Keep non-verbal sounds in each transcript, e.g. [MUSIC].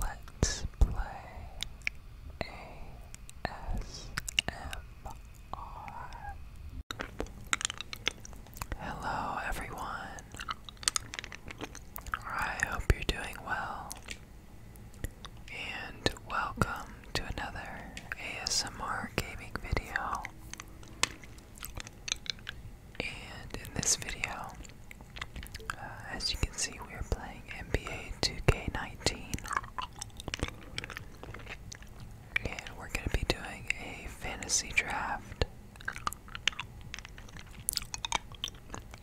Let's play ASMR. Hello, everyone. I hope you're doing well. And welcome to another ASMR gaming video. And in this video, uh, as you can see, we are playing NBA 2K19. And we're going to be doing a fantasy draft.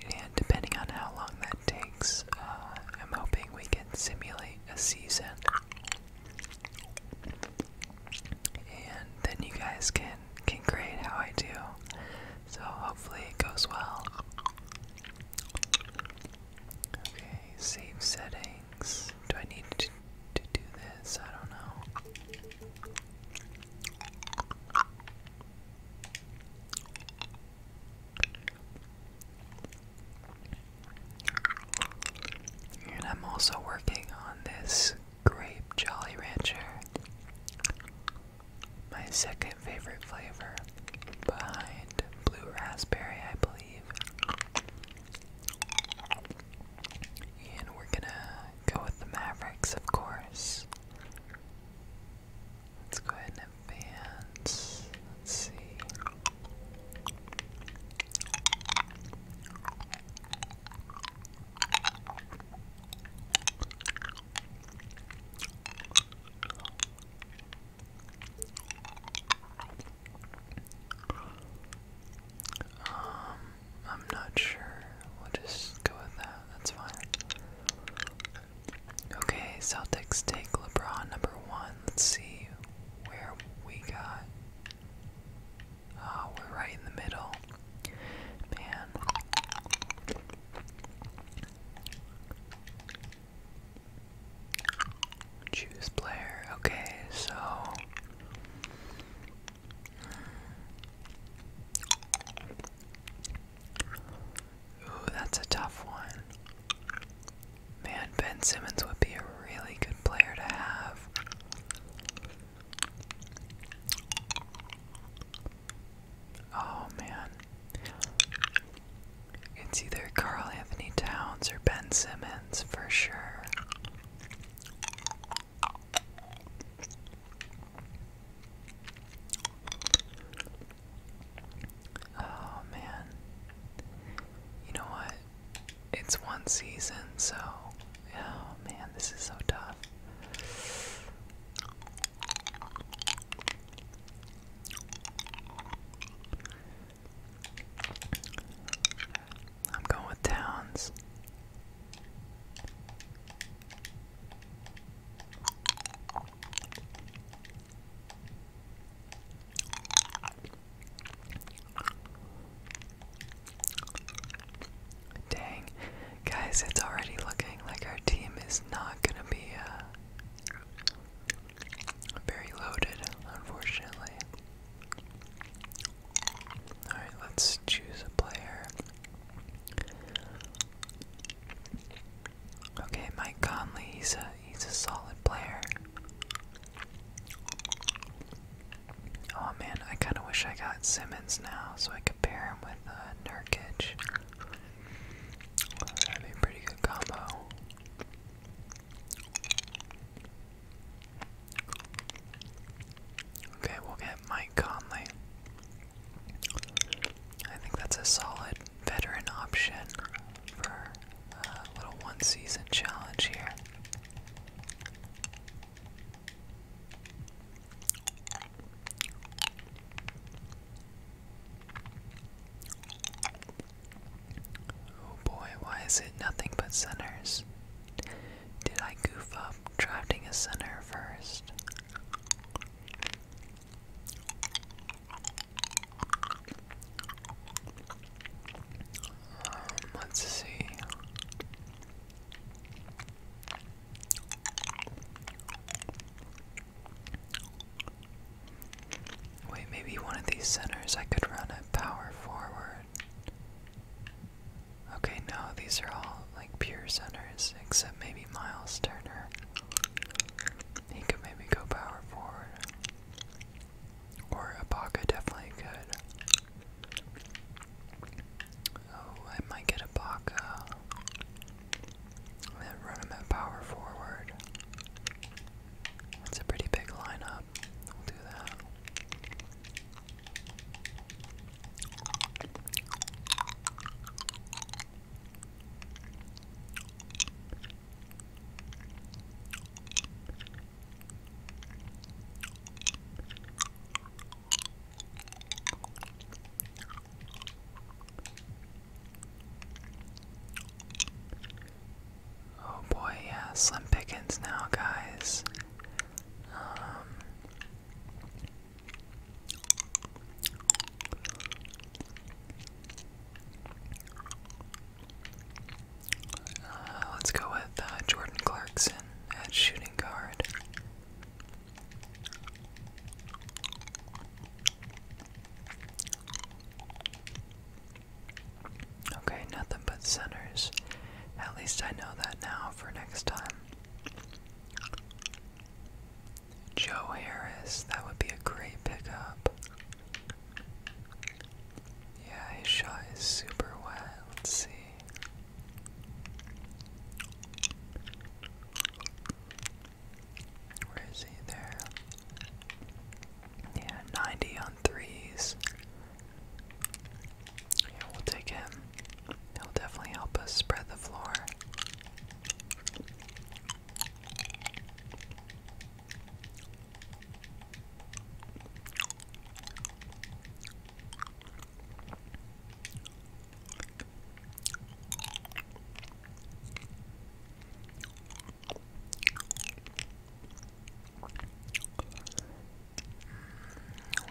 And depending on how long that takes, uh, I'm hoping we can simulate a season. And then you guys can Okay, great. how I do. So hopefully it goes well. Okay, save settings. Do I need to do this? I don't know. And I'm also working on this grape Jolly Rancher my second favorite flavor behind blue raspberry, I believe. And we're gonna go with the Mavericks, of course. Let's go ahead and advance. Let's see. Um, I'm not sure. We'll just go with that. That's fine. Okay, Celtics take LeBron number one. Let's see where we got. Oh, we're right in the middle. Man. Choose player. Okay, so Ooh, that's a tough one. Man, Ben Simmons would be a really good player to have. Oh man. It's either Carl Anthony Towns or Ben Simmons for sure. Oh man. You know what? It's one season, so. Oh man, this is so tough. I'm going with Towns. Dang, Guys, it's already looking like our team is not gonna be uh, very loaded, unfortunately. Alright, let's choose a player. Okay, Mike Conley, he's a he's a solid player. Oh man, I kinda wish I got Simmons now so I could pair him with uh Nurkic. That'd be a pretty good combo. Okay, we'll get Mike Conley. I think that's a solid veteran option for a little one season challenge here. Oh boy, why is it nothing but centers? Did I goof up drafting a center first? Um, let's see. Wait, maybe one of these centers I could run a power forward. Okay, no, these are all like pure centers, except maybe Miles Turner. He could maybe go power forward. Or Ibaka definitely could. Oh, I might get Ibaka then run him power forward. That's a pretty big lineup. We'll do that. Oh boy, yeah, slim pickings now, guys. Um, uh, let's go with uh, Jordan Clarkson at shooting guard. Okay, nothing but centers. At least I know that now for next time. Joe Harris, that would be a great pickup. Yeah, his shot is super wet. Let's see. Where is he? There. Yeah, 90 on threes. Yeah, we'll take him. He'll definitely help us spread the floor.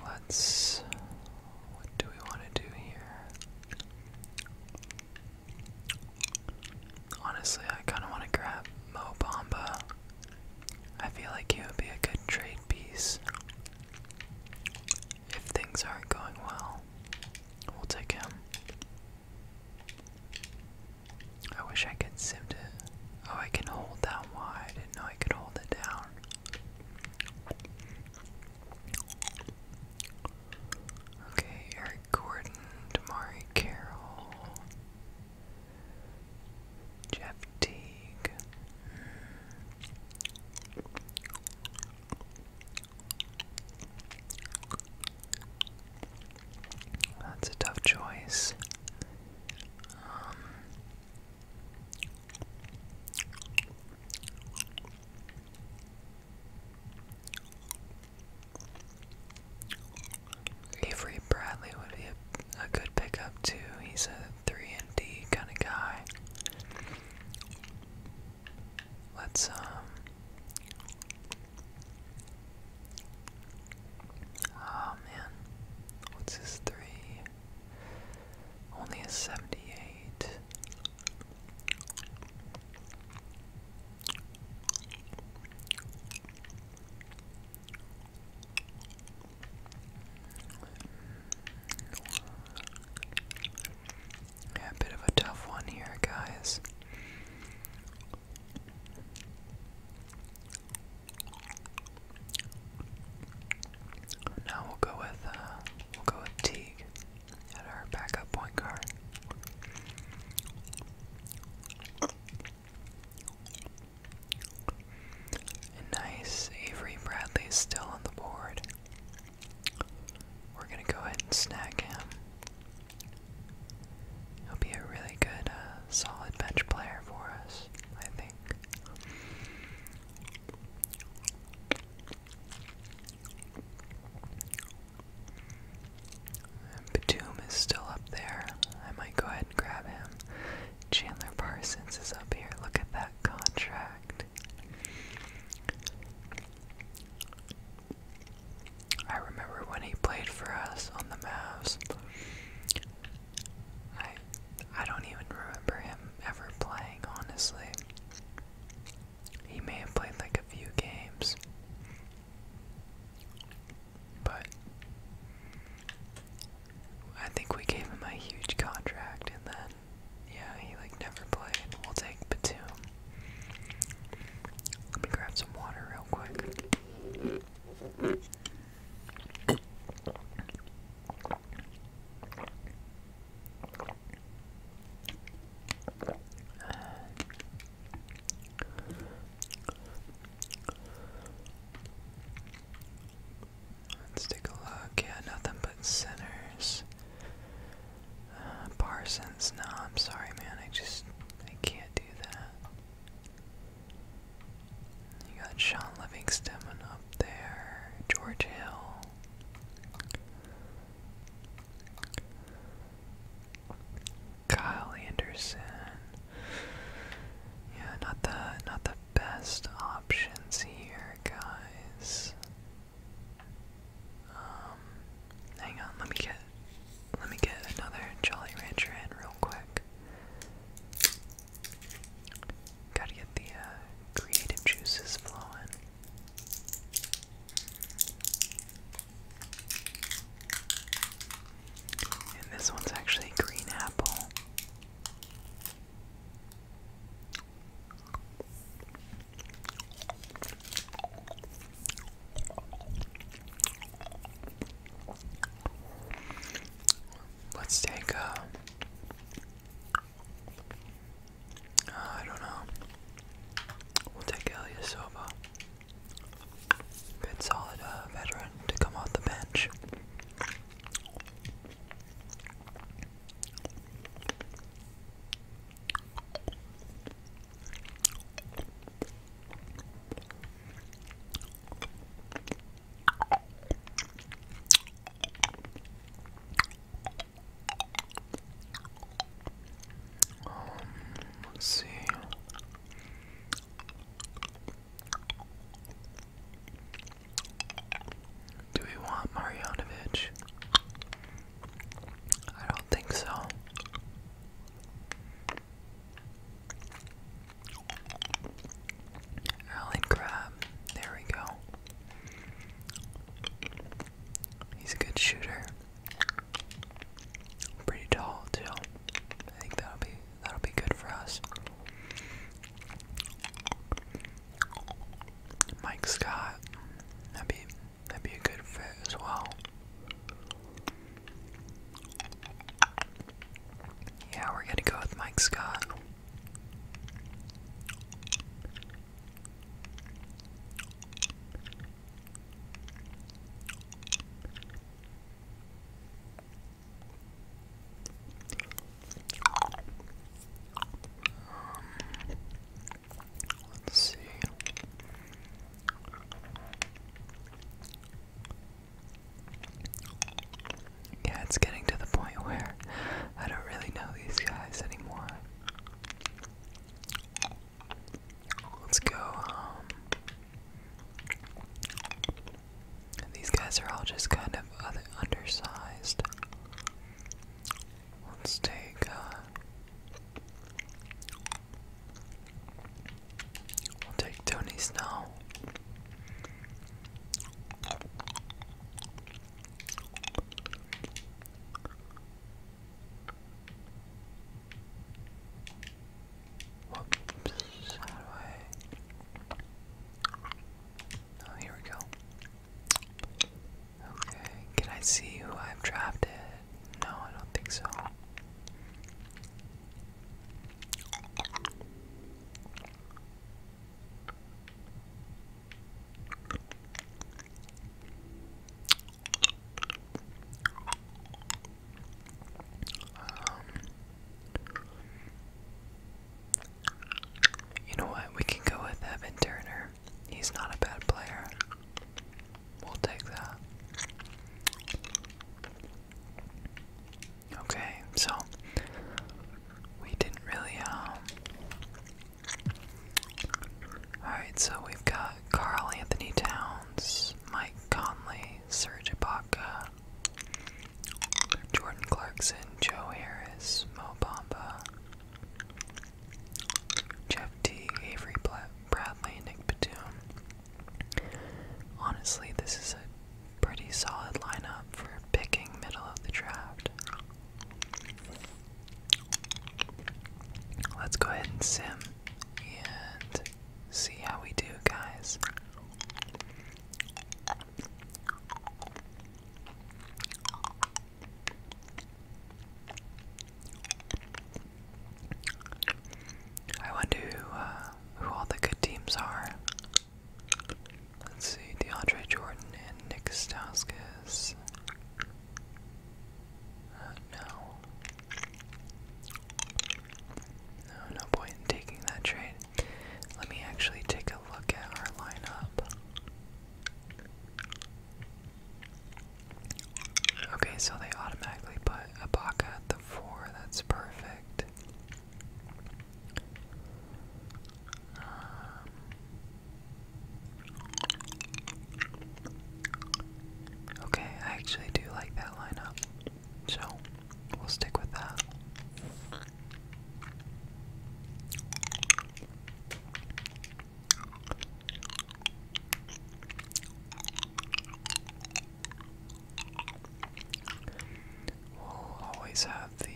Let's. What do we want to do here? Honestly, I kind of want to grab Mo Bamba. I feel like he would be a good trade piece. If things aren't going well, we'll take him. I wish I could sift it. Oh, I can hold down Y. I didn't know I could hold it down. Okay, Eric Gordon, Damari Carroll, Jeff Teague. Hmm. That's a tough choice. Um, Avery Bradley would be a good pickup too. He's a three and D kind of guy. Let's, um, oh man, what's his three? Only a 78 a bit of a tough one here, guys. Now we'll go with uh, we'll go with Teague at our backup point guard. nice, Avery Bradley's still on the board. We're gonna go ahead and snag him. He'll be a really good, uh, solid bench player for us, I think. And Batum is still up there. I might go ahead and grab him. Chandler Parsons is up here. Look at that contract. I remember when he played for us on the Mavs. I I don't even remember him ever playing, honestly. He may have played like a few games. But I think we gave him a huge contract and then yeah, he like never played. We'll take the two. Let me grab some water real quick. Let's take a look. Yeah, nothing but sinners. Parsons, no, I'm sorry, man. I just, I can't do that. You got Sean Livingston up there, George Hill. Kyle Anderson. Yeah, not the not the best options here, guys. Um Hang on, let me get let me get another Jolly Rancher in real quick. Gotta get the uh, creative juices flowing. And this one's actually green apple. Let's take a. Uh, I don't know. We'll take Ilyasova. Good solid uh, veteran to come off the bench let's see. Do we want Marjanovic? I don't think so. Alan Crab. There we go. He's a good shooter. Pretty tall too. I think that'll be that'll be good for us. Mike Scott. That'd be That'd be a good fit as well. Yeah, we're gonna go with Mike Scott. Um, let's see. Yeah, it's getting to the point where I don't really know these guys anymore. Let's go, um. These guys are all just kind of undersized. Let's take, uh, We'll take Tony's now. Whoops, how do Oh, here we go. Okay, can I see who I've drafted? No, I don't think so. Um, you know what? We can go with Evan Turner. He's not a bad player. We'll take that. Okay, so we didn't really, um. Alright, so we've got Carl Anthony Towns, Mike Conley, Serge Ibaka, Jordan Clarkson, Joe Harris, Mo Bamba, Jeff T, Avery Bradley, Nick Batum. Honestly, this is a pretty solid lineup for picking middle of the draft. Let's go ahead and sim and see how we do, guys. I wonder uh, who, all the good teams are. Let's see, DeAndre Jordan and Nick Stauskas. Uh, no, no point in taking that trade. Let me actually take a look at our lineup. Okay, so they automatically put Ibaka at the four. That's perfect. Um, okay, I actually do like that lineup, so we'll stick with that. We'll always have the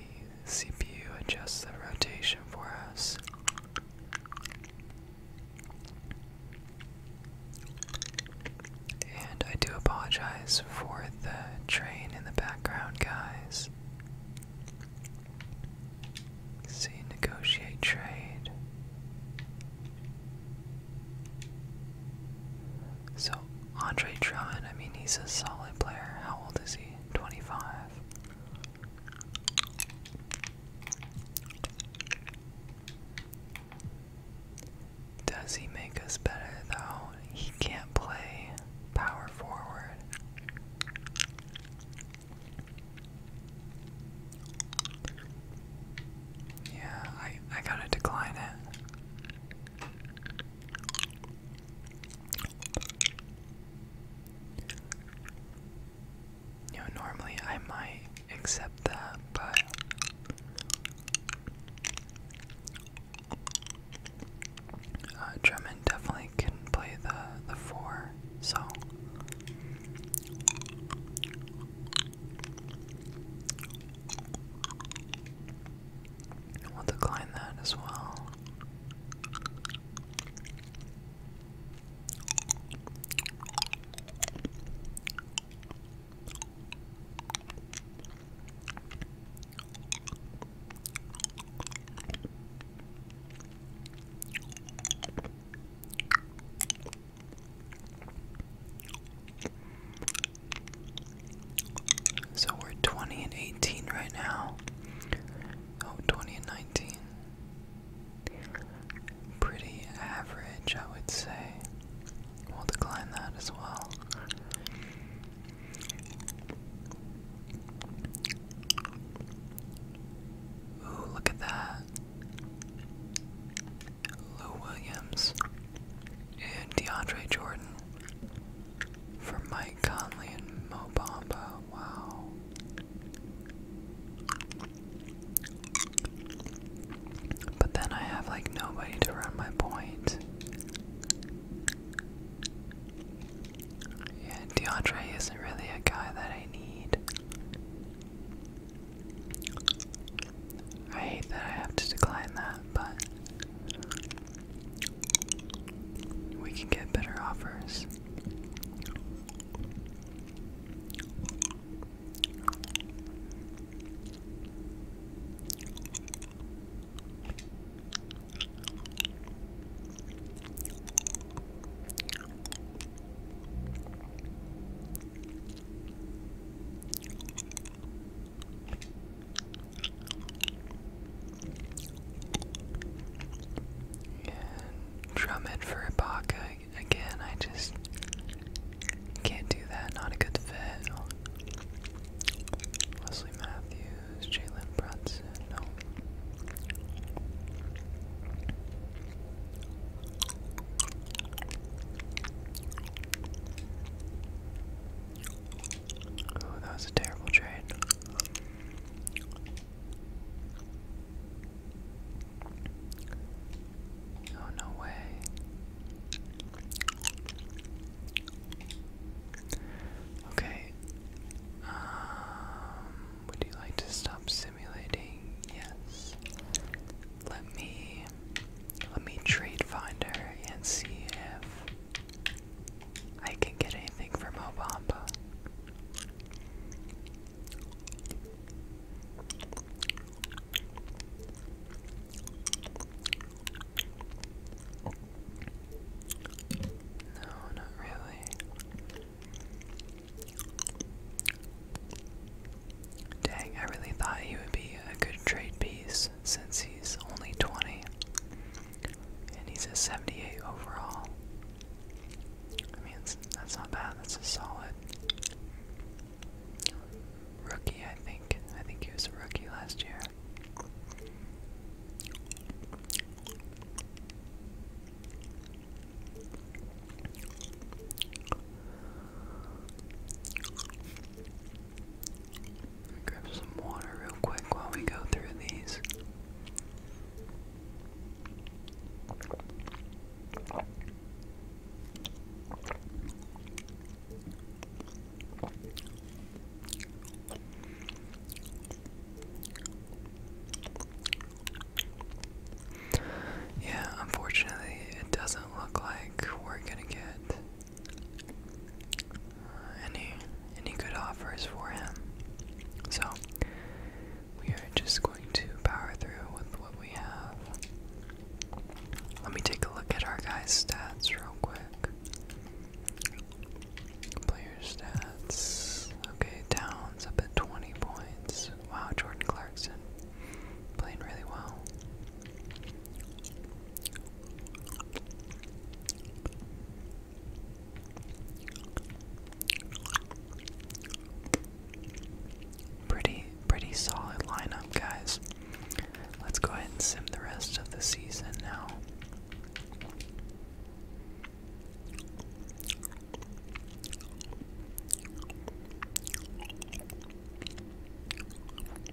CPU adjust the rotation for us. And I do apologize for the train in the background, guys. See, negotiate trade. So, Andre Drummond, I mean, he's a solid player. How old is he? 25. Does he make us better, though? He can't play power forward. Yeah, I I gotta decline it. You know, normally I might accept that, but uh, definitely can play the the four, so We'll decline that as well. So we're 20 and 18 right now. Oh, 20 and 19. Pretty average, I would say. We'll decline that as well. Ooh, look at that. Lou Williams, and DeAndre Jordan for Mike Conley and Mo Bamba. Wow. But then I have like nobody to run my point. Yeah, DeAndre isn't really a guy that I need. I hate that I have to decline that, but we can get better offers. And drum it for Ibaka again. I just can't do that. Not a good fit. Leslie Matthews, Jalen Brunson. No. Oh, that was a terrible trade. Oh, no way. Okay. Um, would you like to stop simulating? Yes. Let me let me trade finder and see if I can get anything from Obamba. No, not really. Dang, I really thought he would be a good trade piece since he's only 20. And he's a 78 overall. I mean, that's not bad. That's a solid rookie, I think. I think he was a rookie last year. Grab some water real quick while we go through these. Yeah, unfortunately, it doesn't look like we're gonna get any any good offers for him. So we are just going to power through with what we have. Let me take a look at our guys' stats real quick. Player stats. Okay, Towns up at 20 points. Wow, Jordan Clarkson playing really well. Pretty, pretty solid lineup, guys. Let's go ahead and sim the rest of the season now.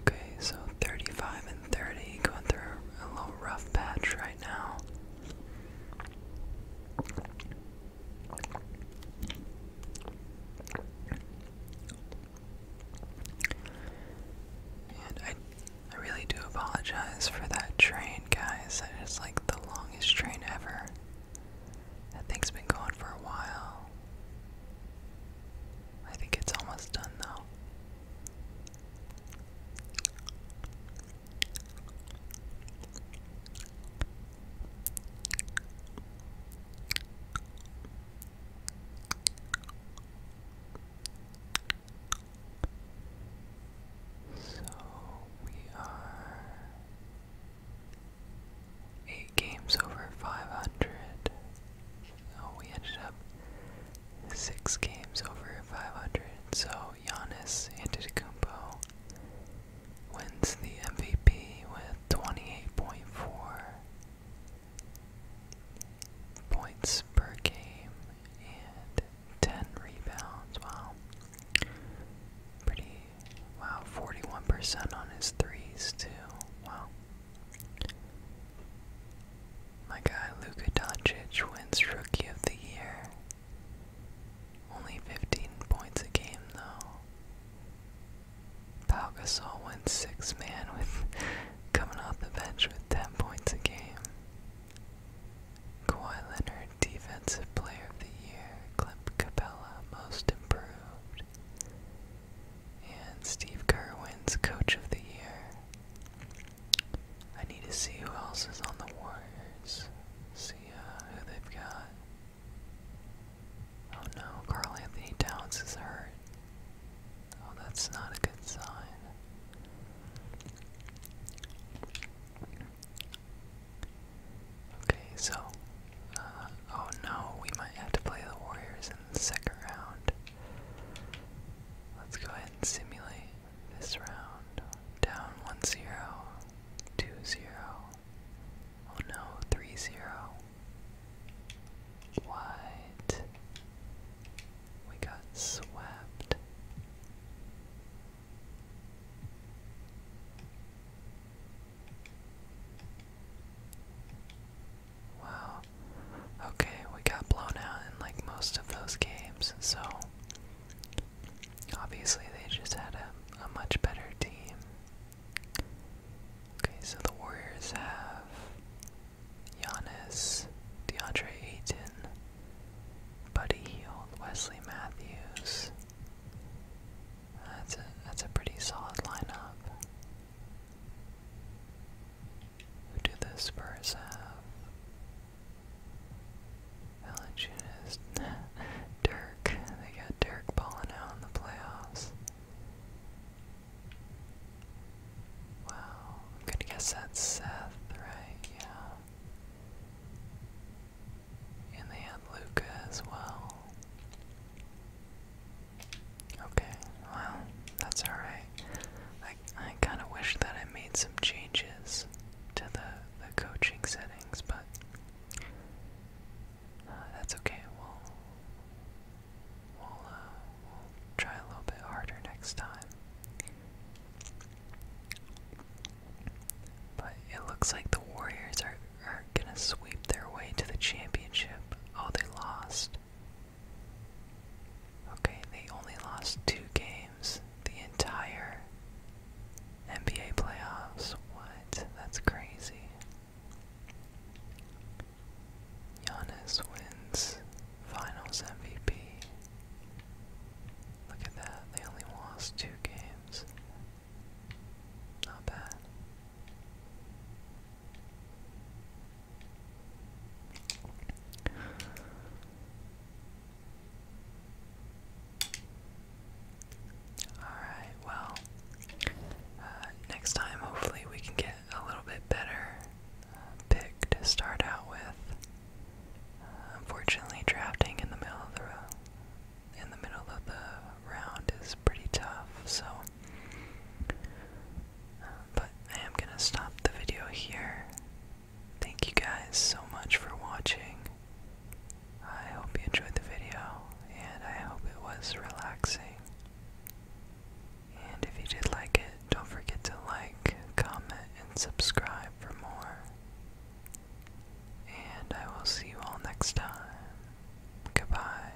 Okay, so 35 and 30 going through a little rough patch right now. I I really do apologize for that train, guys. That is like the longest train ever. That thing's been going for a while. I think it's almost done though. So we are eight games over five hundred. Oh, we ended up six games over 500. So Giannis Antetokounmpo wins the MVP with 28.4 points per game and 10 rebounds. Wow. Pretty wow, 41% on his threes too. Wow. My guy Luka Doncic wins Rookie of the Year. Only 15 points a game though. Pau Gasol wins six man with [LAUGHS] coming off the bench with 10 points a game. Kawhi Leonard, Defensive Player of the Year. Clint Capella, Most Improved. And Steve Kerr wins Coach of the Year. I need to see who else is on the Warriors. See uh, who they've got. Oh no, Carl Anthony Towns is hurt. Oh, that's not a good sign. Okay, so, uh, oh no, we might have to play the Warriors in the second round. Let's go ahead and simulate this round. Down 1 oh no, 3 What? We got swept. Wow. Okay, we got blown out in like most of those games, so obviously they just had a, much better team. Okay, so the Warriors have Giannis, DeAndre Ayton, Buddy Heald, Wesley Matthews. That's a that's a pretty solid lineup. Who do this verse have? Valanciunas, Dirk. They got Dirk balling in the playoffs. Wow, I'm gonna guess that's Seth, right? Yeah. And they had Luca as well. Okay, well, that's alright. I, I kind of wish that I made some changes to the, the coaching settings, but uh, that's okay. We'll, uh, we'll try a little bit harder next time. But it looks like the Warriors are, are gonna sweep their way to the championship. Oh, they lost. Okay, they only lost two games the entire NBA playoffs. What? That's crazy. Giannis wins finals MVP. Look at that, they only lost two games. Not bad. Alright, well, uh, next time hopefully we can get a little bit better uh, pick to start out with. Uh, unfortunately, drafting in the middle of the in the middle of the round is pretty tough, so but I am going to stop the video here. Thank you guys so much for watching. I hope you enjoyed the video, and I hope it was relaxing. And if you did like it, don't forget to like, comment, and subscribe for more. And I will see you all next time. Goodbye.